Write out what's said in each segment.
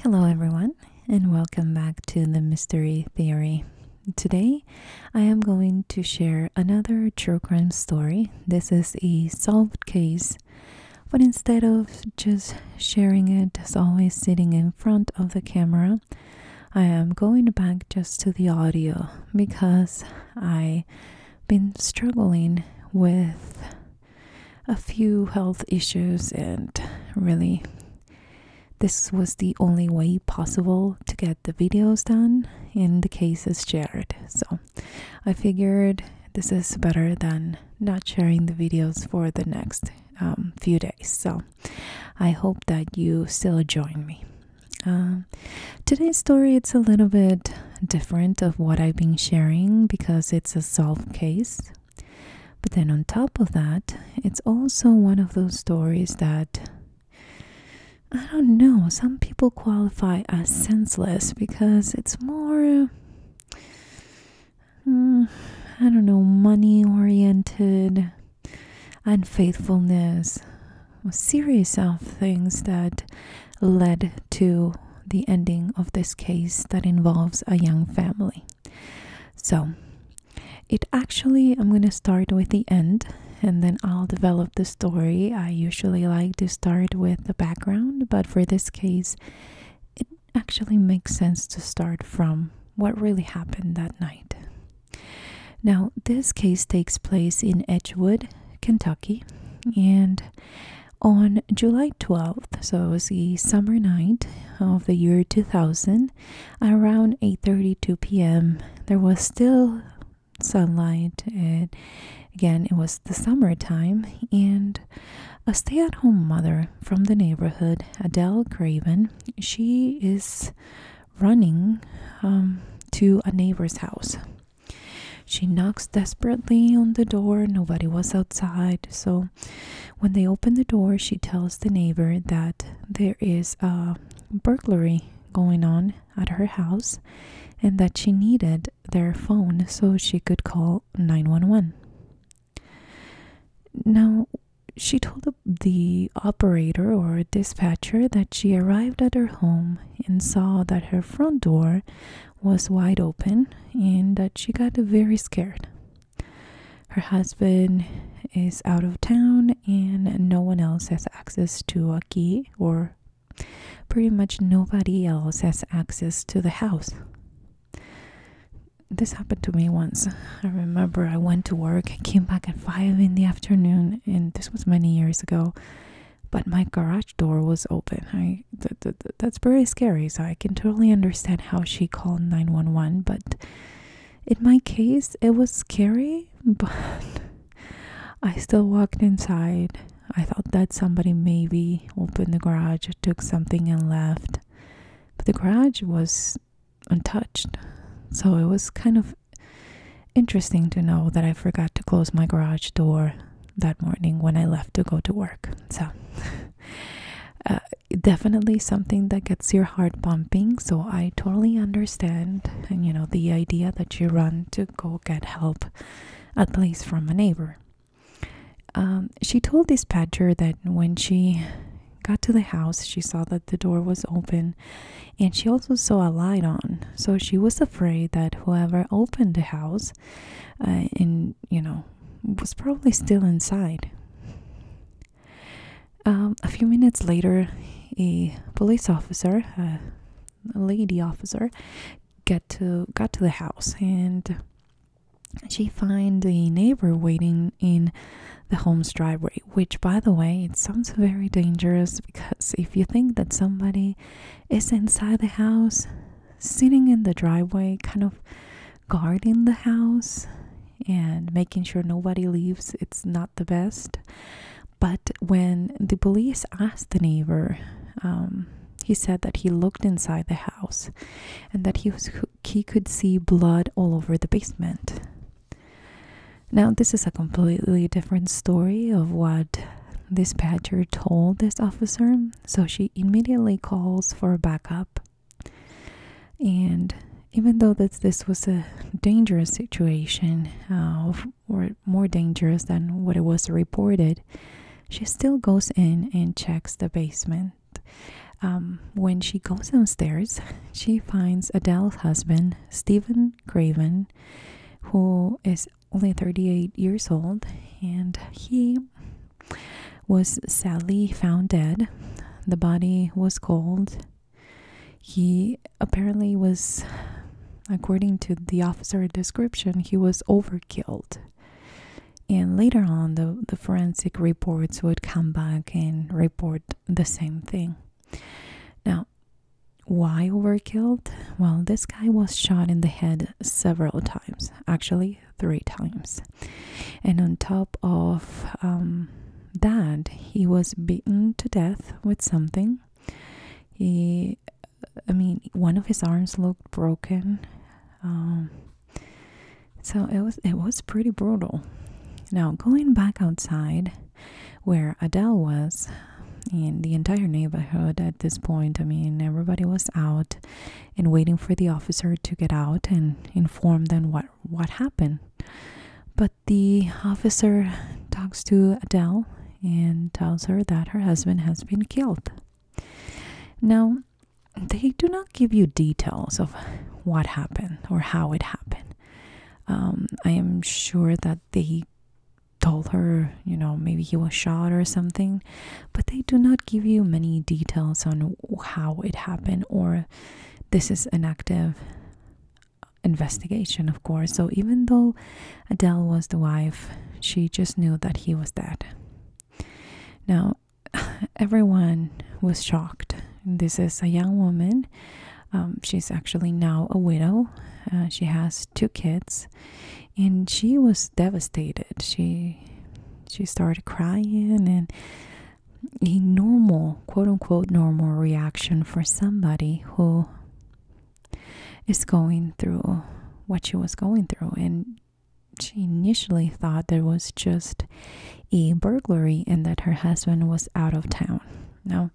Hello, everyone, and welcome back to the Mystery Theory. Today, I am going to share another true crime story. This is a solved case, but instead of just sharing it as always sitting in front of the camera, I am going back just to the audio because I been struggling with a few health issues, and really, this was the only way possible to get the videos done In the cases shared. So I figured this is better than not sharing the videos for the next um, few days. So I hope that you still join me. Um, today's story it's a little bit different of what I've been sharing because it's a solved case. But then on top of that, it's also one of those stories that I don't know, some people qualify as senseless because it's more mm, I don't know, money oriented unfaithfulness a series of things that led to the ending of this case that involves a young family. So, it actually, I'm going to start with the end and then I'll develop the story. I usually like to start with the background, but for this case, it actually makes sense to start from what really happened that night. Now, this case takes place in Edgewood, Kentucky, and on July 12th, so it was the summer night of the year 2000, around 8:32 p.m., there was still sunlight. and again, it was the summer time. and a stay-at-home mother from the neighborhood, Adele Craven, she is running um, to a neighbor's house. She knocks desperately on the door. Nobody was outside. So when they open the door, she tells the neighbor that there is a burglary going on at her house and that she needed their phone so she could call 911. Now, she told the operator or dispatcher that she arrived at her home and saw that her front door was wide open and that she got very scared. Her husband is out of town and no one else has access to a key, or pretty much nobody else has access to the house. This happened to me once. I remember I went to work, came back at 5 in the afternoon, and this was many years ago but my garage door was open. I th that's very scary. So I can totally understand how she called 911, but in my case it was scary, but I still walked inside. I thought that somebody maybe opened the garage, took something and left. But the garage was untouched. So it was kind of interesting to know that I forgot to close my garage door that morning when I left to go to work. So, uh, definitely something that gets your heart pumping. So, I totally understand. And, you know, the idea that you run to go get help, at least from a neighbor. Um, she told dispatcher that when she got to the house, she saw that the door was open and she also saw a light on. So she was afraid that whoever opened the house and, uh, you know, was probably still inside. Um, a few minutes later, a police officer, a lady officer, got to got to the house and she find a neighbor waiting in the home's driveway which by the way it sounds very dangerous because if you think that somebody family is inside the house, sitting in the driveway, kind of guarding the house and making sure nobody leaves. It's not the best. But when the police asked the neighbor, um, he said that he looked inside the house and that he he could see blood all over the basement. Now, this is a completely different story of what this patcher told this officer, so she immediately calls for backup. And even though that this was a dangerous situation, uh, or more dangerous than what it was reported, she still goes in and checks the basement. Um, when she goes downstairs, she finds Adele's husband, Stephen John Craven, who is only 38 years old, and he was sadly found dead. The body was cold. He apparently was, according to the officer description, he was overkilled. And later on, the, the forensic reports would come back and report the same thing. Now, why killed? Well, this guy was shot in the head several times, actually, three times. And on top of um, that, he was beaten to death with something. He, I mean, one of his arms looked broken. Um, so it was it was pretty brutal. Now going back outside, where Adele was. in the entire neighborhood at this point, I mean, everybody was out and waiting for the officer to get out and inform them what, what happened. But the officer talks to Adele and tells her that her husband has been killed. Now, they do not give you details of what happened or how it happened. Um, I am sure that they told her, you know, maybe he was shot or something, but they do not give you many details on how it happened or this is an active investigation, of course. So even though Adele was the wife, she just knew that he was dead. Now, everyone was shocked. This is a young woman um, she's actually now a widow. Uh, she has two kids, and she was devastated. She she started crying, and a normal, quote unquote, normal reaction for somebody who is going through what she was going through, and she initially thought there was just a burglary and that her husband was out of town. Now,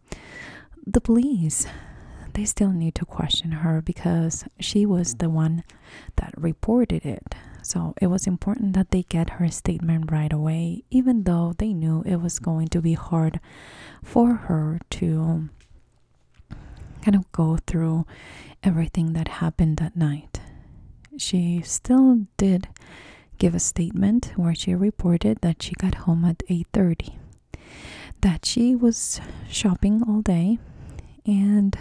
the police they still need to question her because she was the one that reported it. So it was important that they get her statement right away, even though they knew it was going to be hard for her to kind of go through everything that happened that night. She still did give a statement where she reported that she got home at 8:30 that she was shopping all day and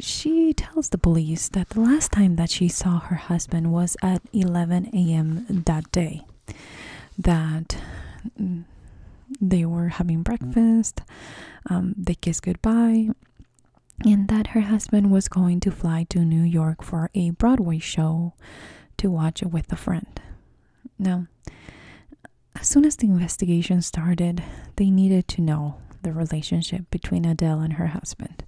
she tells the police that the last time that she saw her husband was at 11 a.m. that day. That mm, they were having breakfast, um, they kissed goodbye, and that her husband was going to fly to New York for a Broadway show to watch with a friend. Now, as soon as the investigation started, they needed to know the relationship between Adele and her husband.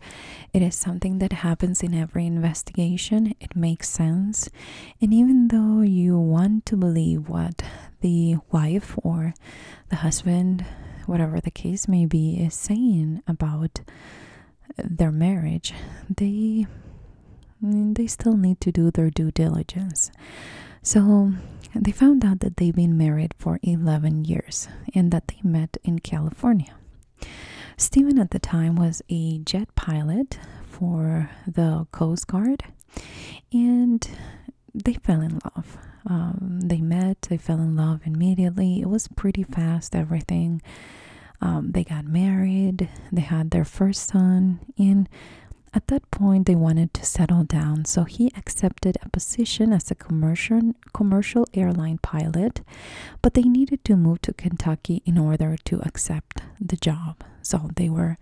It is something that happens in every investigation, it makes sense. And even though you want to believe what the wife or the husband, whatever the case may be, is saying about their marriage, they they still need to do their due diligence. So they found out that they've been married for 11 years and that they met in California. Stephen at the time was a jet pilot for the Coast Guard and they fell in love. Um, they met, they fell in love immediately. It was pretty fast, everything. Um, they got married, they had their first son, In at that point they wanted to settle down. So he accepted a position as a commercial commercial airline pilot, but they needed to move to Kentucky in order to accept the job. So they were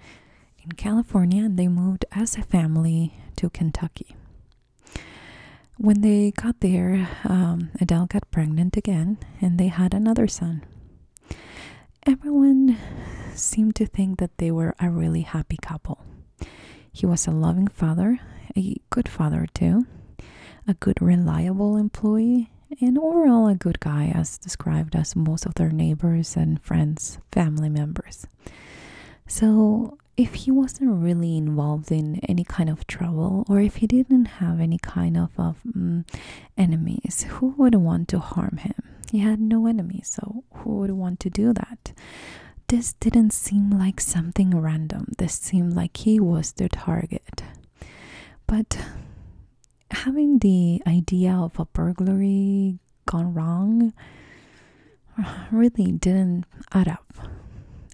in California and they moved as a family to Kentucky. When they got there, um, Adele got pregnant again and they had another son. Everyone seemed to think that they were a really happy couple. He was a loving father, a good father too, a good, reliable employee, and overall a good guy, as described as most of their neighbors and friends, family members. So, if he wasn't really involved in any kind of trouble, or if he didn't have any kind of, of mm, enemies. Who would want to harm him? He had no enemies, so who would want to do that? This didn't seem like something random. This seemed like he was the target. But having the idea of a burglary gone wrong really didn't add up.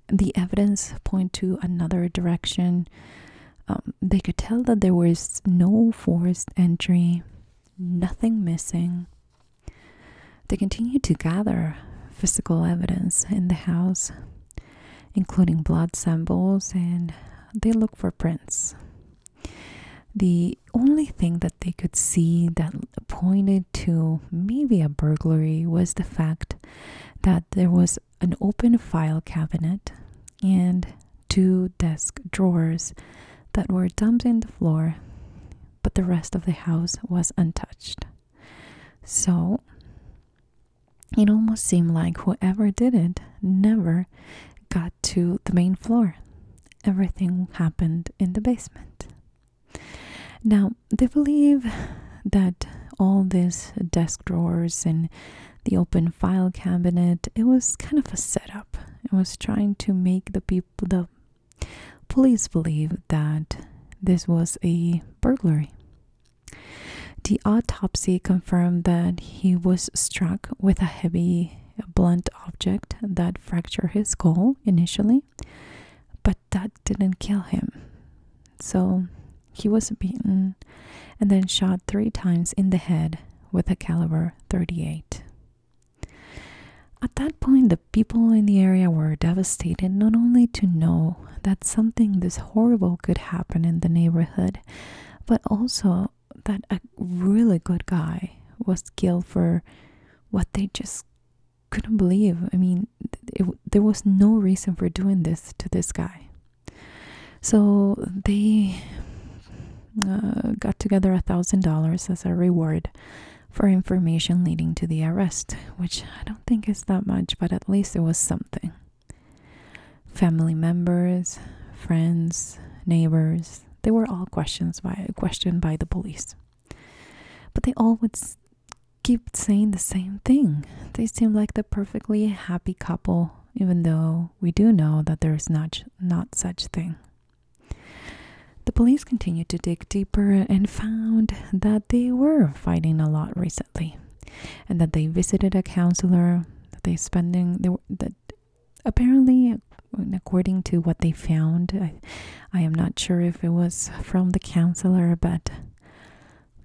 The evidence point to another direction. Um, they could tell that there was no forced entry, nothing missing. They continued to gather physical evidence in the house, including blood samples, and they looked for prints. The only thing that they could see that pointed to maybe a burglary was the fact that there was an open file cabinet and two desk drawers that were dumped in the floor, but the rest of the house was untouched. So it almost seemed like whoever did it never got to the main floor. Everything happened in the basement. Now, they believe that all these desk drawers and the open file cabinet. It was kind of a setup. It was trying to make the people, the police, believe that this was a burglary. The autopsy confirmed that he was struck with a heavy, blunt object that fractured his skull initially, but that didn't kill him. So he was beaten and then shot three times in the head with a caliber 38. At that point, the people in the area were devastated not only to know that something this horrible could happen in the neighborhood, but also that a really good guy was killed for what they just couldn't believe. I mean, there was no reason for doing this to this guy. So they uh, got together a thousand dollars as a reward for information leading to the arrest, which I don't think is that much, but at least it was something. Family members, friends, neighbors, they were all questioned by the police. But they all would keep saying the same thing. They seemed like the perfectly happy couple even though we do know that there is not, not such thing. The police continued to dig deeper and found that they were fighting a lot recently, and that they visited a counselor. That they spending they that apparently, according to what they found, I am not sure if it was from the counselor, but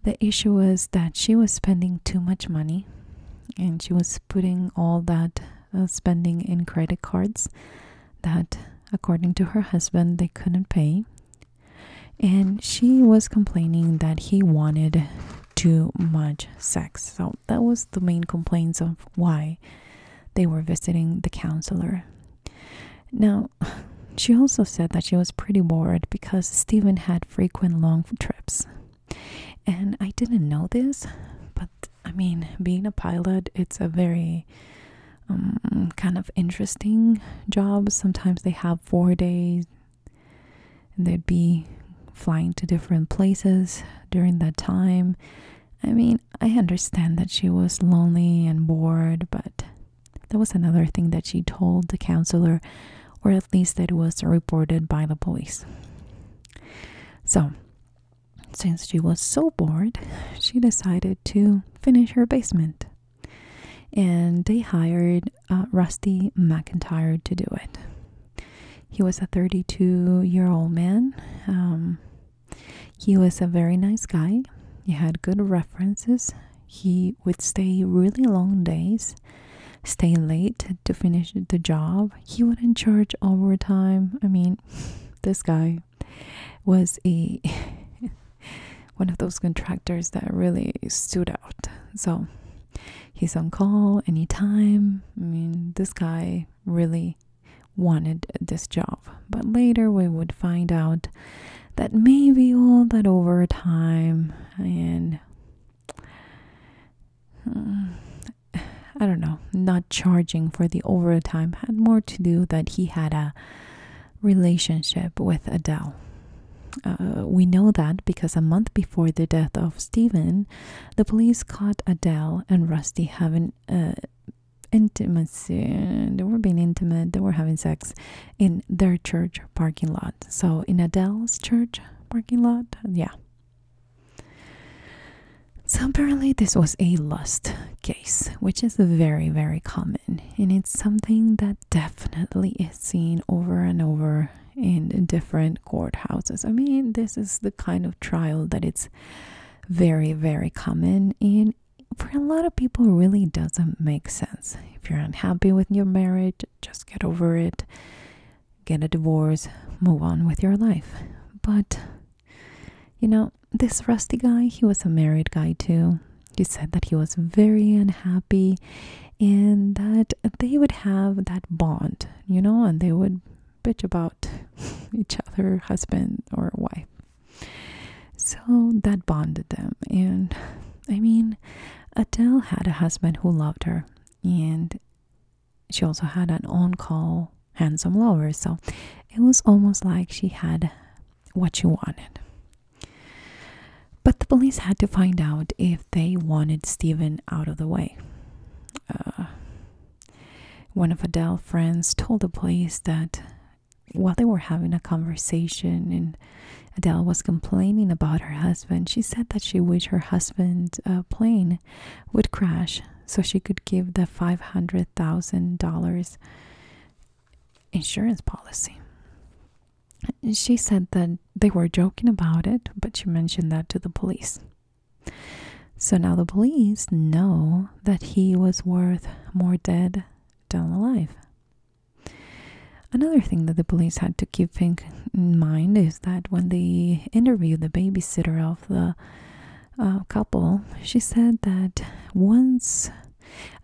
the issue was that she was spending too much money and she was putting all that uh, spending in credit cards that, according to her husband, they couldn't pay. And she was complaining that he wanted too much sex. So that was the main complaints of why they were visiting the counselor. Now, she also said that she was pretty bored because Stephen had frequent long trips. And I didn't know this, but I mean, being a pilot, it's a very um, kind of interesting job. Sometimes they have four days, and they'd be flying to different places during that time. I mean, I understand that she was lonely and bored, but that was another thing that she told the counselor or at least that was reported by the police. So, since she was so bored, she decided to finish her basement. And they hired uh, Rusty McIntyre to do it. He was a 32 year old man. Um, he was a very nice guy. He had good references he would stay really long days, stay late to finish the job. He wouldn't charge overtime. I mean, this guy was a one of those contractors that really stood out. So he's on call anytime. I mean, this guy really wanted this job. But later we would find out that maybe all that overtime and I don't know, not charging for the overtime had more to do that he had a relationship with Adele. Uh, we know that because a month before the death of Stephen, the police caught Adele and Rusty having uh, intimacy. They were being intimate, they were having sex in their church parking lot. So in Adele's church parking lot, yeah. So apparently this was a lust case, which is very, very common. And it's something that definitely is seen over and over in different courthouses. I mean, this is the kind of trial that it's very, very common and for a lot of people really doesn't make sense. If you're unhappy with your marriage, just get over it, get a divorce, move on with your life. But, you know, this rusty guy, he was a married guy too. He said that he was very unhappy and that they would have that bond, you know, and they would bitch about each other, husband or wife. So that bonded them. And I mean, Adele had a husband who loved her, and she also had an on call handsome lover, so it was almost like she had what she wanted. But the police had to find out if they wanted Stephen out of the way. Uh, one of Adele's friends told the police that while they were having a conversation and Adele was complaining about her husband, she said that she wished her husband's uh, plane would crash so she could give the $500,000 insurance policy. She said that they were joking about it, but she mentioned that to the police. So now the police know that he was worth more dead than alive. Another thing that the police had to keep in mind is that when they interviewed the babysitter of the uh, couple, she said that once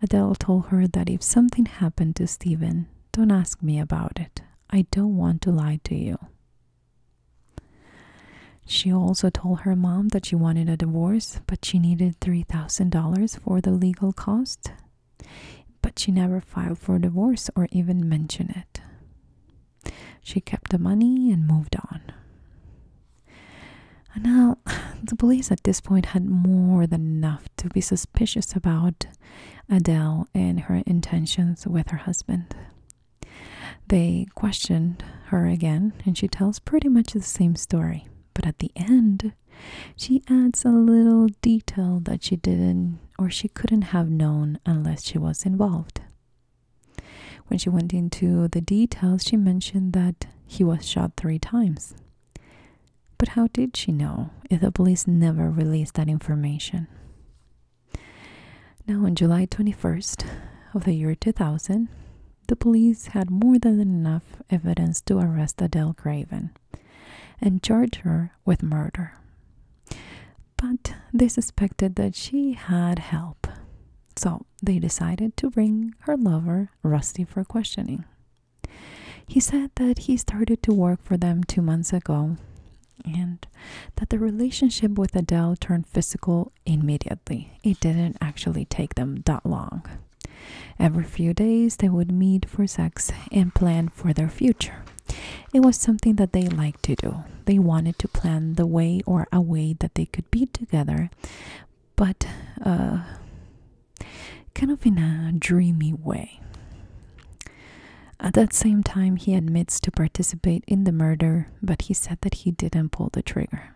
Adele told her that if something happened to Stephen, don't ask me about it. I don't want to lie to you. She also told her mom that she wanted a divorce, but she needed $3,000 for the legal cost. But she never filed for divorce or even mentioned it. She kept the money and moved on. now, the police at this point had more than enough to be suspicious about Adele and her intentions with her husband. They questioned her again, and she tells pretty much the same story. But at the end, she adds a little detail that she didn't or she couldn't have known unless she was involved. When she went into the details, she mentioned that he was shot three times. But how did she know if the police never released that information? Now, on July 21st of the year 2000, the police had more than enough evidence to arrest Adele Craven and charged her with murder. But they suspected that she had help, so they decided to bring her lover, Rusty, for questioning. He said that he started to work for them two months ago and that the relationship with Adele turned physical immediately. It didn't actually take them that long. Every few days, they would meet for sex and plan for their future. It was something that they liked to do. They wanted to plan the way or a way that they could be together, but uh, kind of in a dreamy way. At that same time, he admits to participate in the murder, but he said that he didn't pull the trigger.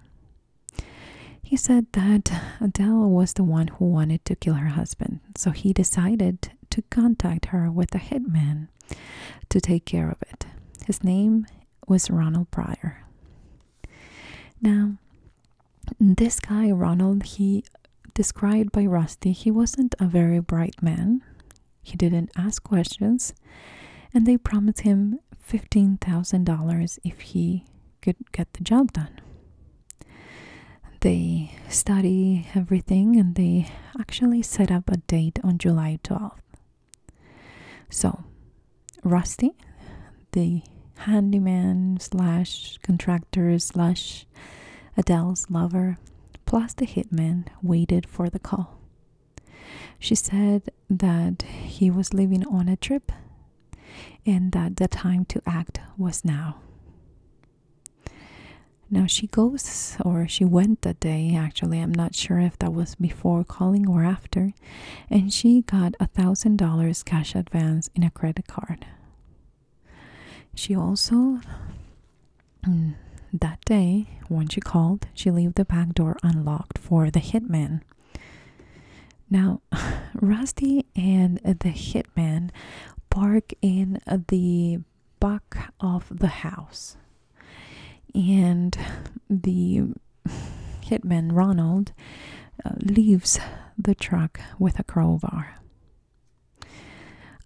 He said that Adele was the one who wanted to kill her husband so he decided to contact her with a hitman to take care of it. His name was Ronald Pryor. Now, this guy, Ronald, he described by Rusty, he wasn't a very bright man. He didn't ask questions, and they promised him $15,000 if he could get the job done. They study everything and they actually set up a date on July 12th. So, Rusty, the handyman slash contractor slash Adele's lover, plus the hitman, waited for the call. She said that he was leaving on a trip and that the time to act was now. Now she goes, or she went that day actually, I'm not sure if that was before calling or after, and she got a thousand dollars cash advance in a credit card. She also, mm, that day when she called, she left the back door unlocked for the hitman. Now, Rusty and the hitman park in the back of the house, and the hitman Ronald uh, leaves the truck with a crowbar.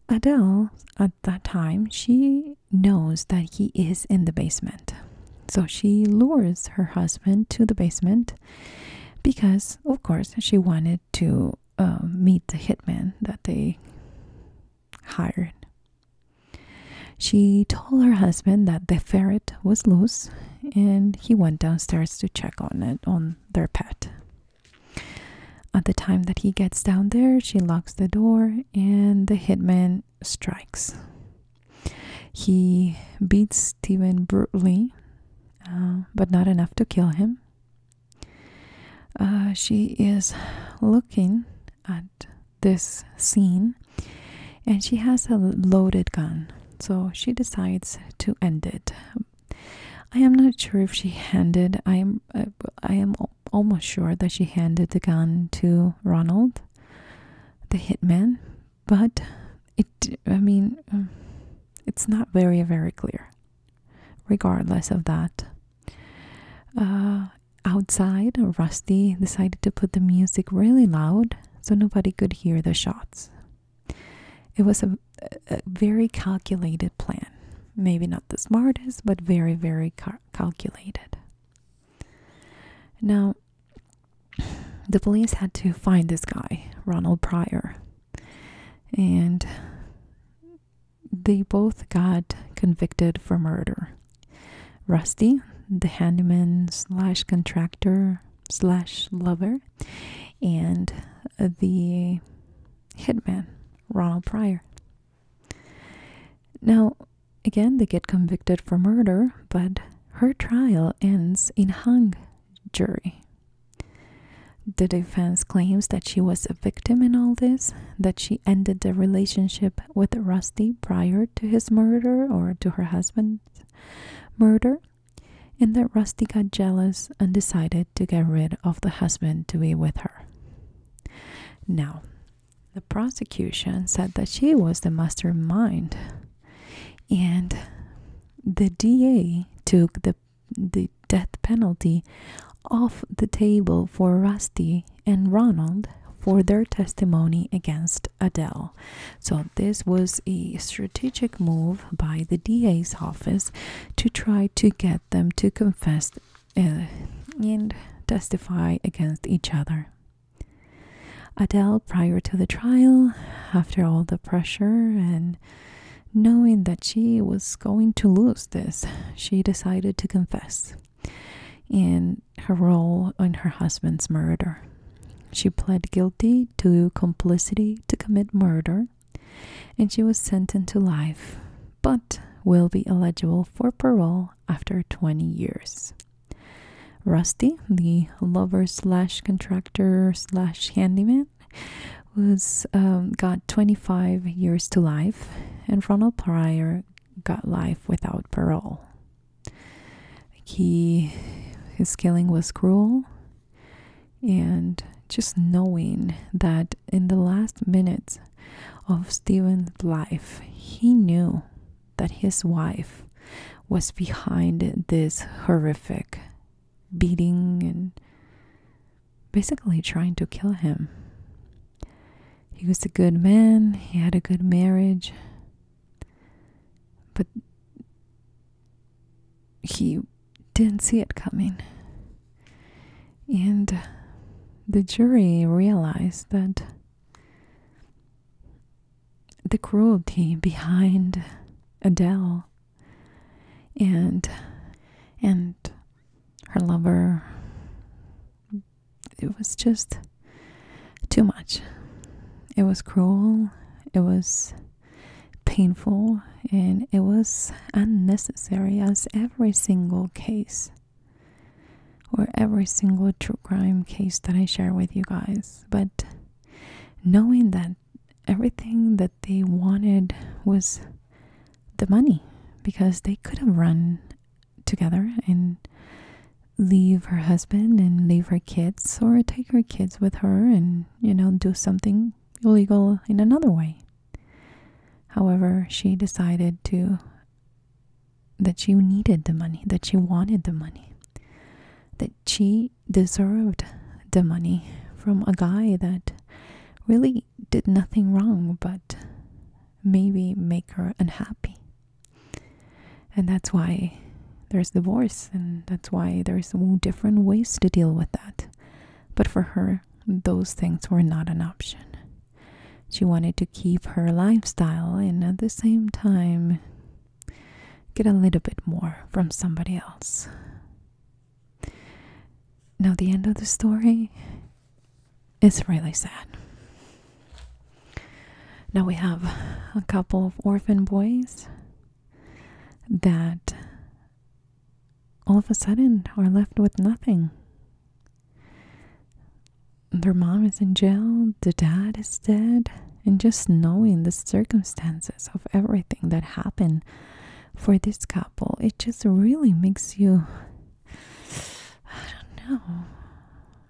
Adele, at that time, she knows that he is in the basement. So she lures her husband to the basement because, of course, she wanted to um, meet the hitman that they hired. She told her husband that the ferret was loose and he went downstairs to check on it, on their pet. At the time that he gets down there, she locks the door and the hitman strikes. He beats Stephen brutally uh, but not enough to kill him. Uh, she is looking at this scene and she has a loaded gun, so she decides to end it. I am not sure if she handed. I am. I am almost sure that she handed the gun to Ronald, the hitman. But it I mean um, it's not very very clear regardless of that uh, outside Rusty decided to put the music really loud so nobody could hear the shots it was a, very calculated plan maybe not the smartest but very very calculated now the police had to find this guy Ronald Pryor and they both got convicted for murder. Rusty, the handyman slash contractor slash lover, and the hitman, Ronald Pryor. Now, again, they get convicted for murder, but her trial ends in hung jury. The defense claims that she was a victim in all this, that she ended the relationship with Rusty prior to his murder or to her husband's murder, and that Rusty got jealous and decided to get rid of the husband to be with her. Now, the prosecution said that she was the mastermind, and the DA took the the death penalty off the table for Rusty and Ronald for their testimony against Adele. So, this was a strategic move by the DA's office to try to get them to confess uh, and testify against each other. Adele, prior to the trial, after all the pressure and knowing that she was going to lose this, she decided to confess in her role in her husband's murder. She pled guilty to complicity to commit murder and she was sentenced to life but will be eligible for parole after 20 years. Rusty, the lover slash contractor slash handyman, was um, got 25 years to life, and Ronald Pryor got life without parole. He his killing was cruel, and just knowing that in the last minutes of Stephen's life, he knew that his wife was behind this horrific beating and basically trying to kill him. He was a good man, he had a good marriage, but he didn't see it coming. And the jury realized that the cruelty behind Adele and and her lover it was just too much it was cruel it was painful and it was unnecessary as every single case or every single true crime case that I share with you guys but knowing that everything that they wanted was the money because they could have run together and leave her husband and leave her kids or take her kids with her and you know do something illegal in another way however she decided to that she needed the money that she wanted the money that she deserved the money from a guy that really did nothing wrong but maybe make her unhappy. And that's why there's divorce, and that's why there's different ways to deal with that. But for her, those things were not an option. She wanted to keep her lifestyle and at the same time get a little bit more from somebody else. Now, the end of the story is really sad. Now we have a couple of orphan boys that all of a sudden are left with nothing. Their mom is in jail, the dad is dead and just knowing the circumstances of everything that happened for this couple, it just really makes you I don't know.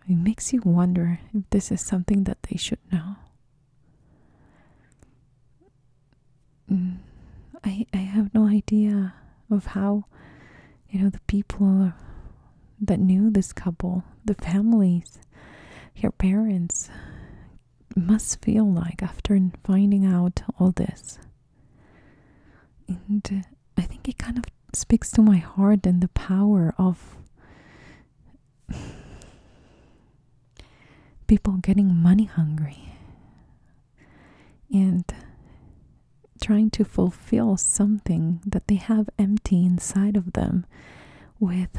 It makes you wonder if this is something that they should know. Mm, I I have no idea of how you know the people that knew this couple, the families, their parents must feel like after finding out all this. And uh, I think it kind of speaks to my heart and the power of people getting money hungry and trying to fulfill something that they have empty inside of them with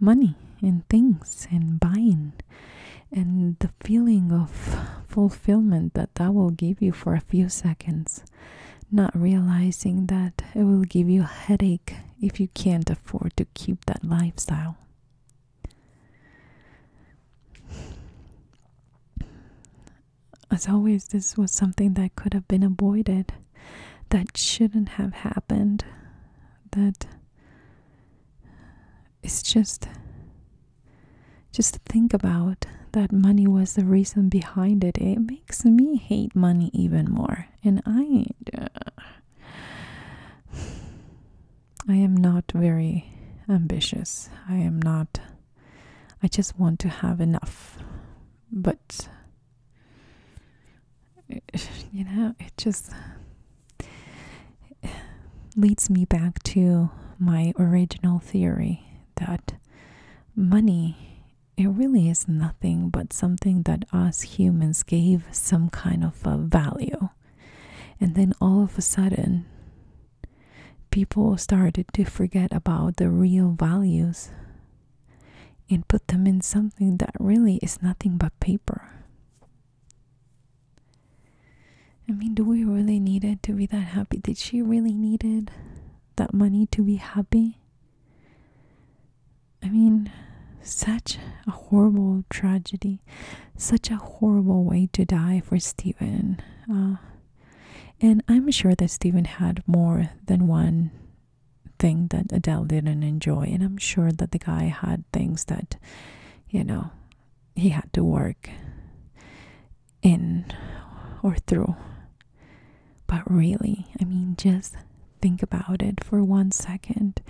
money and things and buying and the feeling of fulfillment that that will give you for a few seconds not realizing that it will give you a headache if you can't afford to keep that lifestyle as always this was something that could have been avoided that shouldn't have happened that it's just just to think about that money was the reason behind it it makes me hate money even more and i uh, i am not very ambitious i am not i just want to have enough but you know, it just leads me back to my original theory that money it really is nothing but something that us humans gave some kind of a value. And then all of a sudden, people started to forget about the real values and put them in something that really is nothing but paper. I mean, do we really need it to be that happy? Did she really need it? That money to be happy? I mean, such a horrible tragedy, such a horrible way to die for Stephen. Uh, and I'm sure that Stephen had more than one thing that Adele didn't enjoy. And I'm sure that the guy had things that, you know, he had to work in or through. But really, I mean, just think about it for one second.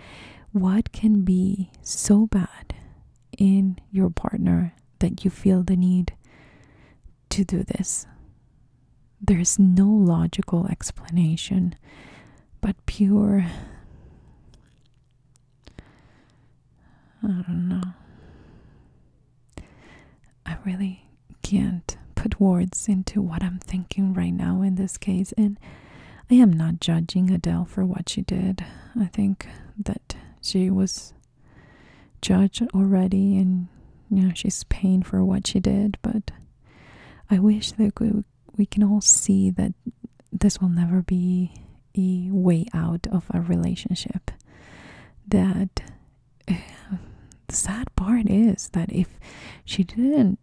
What can be so bad in your partner that you feel the need to do this? There's no logical explanation but pure. I don't know. I really can't put words into what I'm thinking right now in this case, and I am not judging Adele for what she did. I think that she was judged already, and you know, she's paying for what she did, but. I wish they could we can all see that this will never be a way out of a relationship. That the sad part is that if she didn't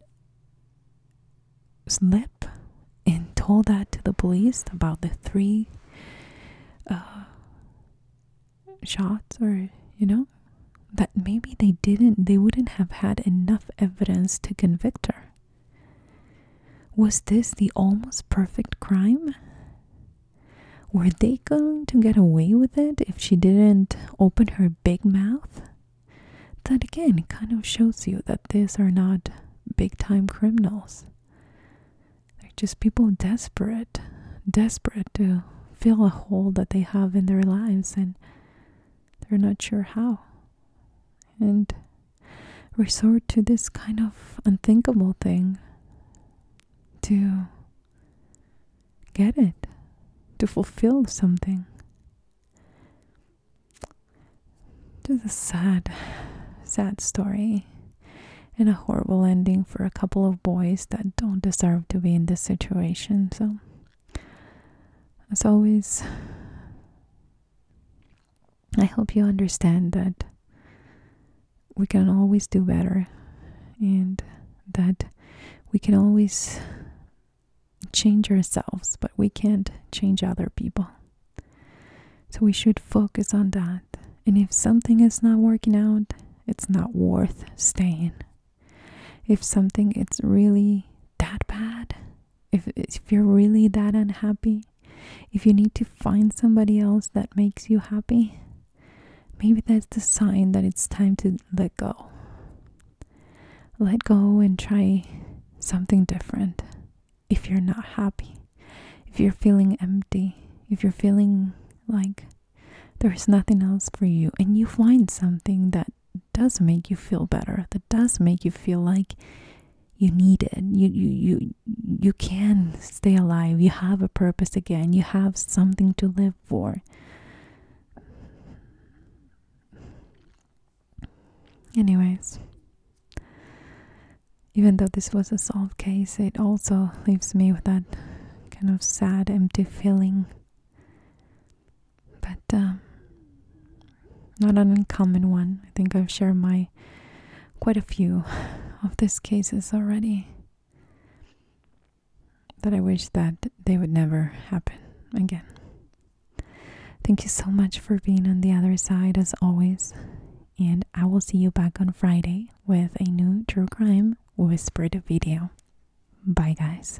slip and told that to the police about the three uh, shots, or you know, that maybe they didn't they wouldn't have had enough evidence to convict her. Was this the almost perfect crime? Were they going to get away with it if she didn't open her big mouth? That again kind of shows you that these are not big time criminals. They're just people desperate, desperate to fill a hole that they have in their lives and they're not sure how and resort to this kind of unthinkable thing to get it, to fulfill something. Just a sad, sad story and a horrible ending for a couple of boys that don't deserve to be in this situation. So as always, I hope you understand that we can always do better and that we can always change ourselves, but we can't change other people. So we should focus on that. And if something is not working out, it's not worth staying. If something is really that bad, if, if you're really that unhappy, if you need to find somebody else that makes you happy, maybe that's the sign that it's time to let go. Let go and try something different if you're not happy, if you're feeling empty, if you're feeling like there's nothing else for you, and you find something that does make you feel better that does make you feel like you need it you you you you can stay alive you have a purpose again you have something to live for anyways even though this was a solved case it also leaves me with that kind of sad empty feeling but um, not an uncommon one. I think I've shared my quite a few of these cases already that I wish that they would never happen again. Thank you so much for being on the other side as always. And I will see you back on Friday with a new true crime whispered video. Bye, guys.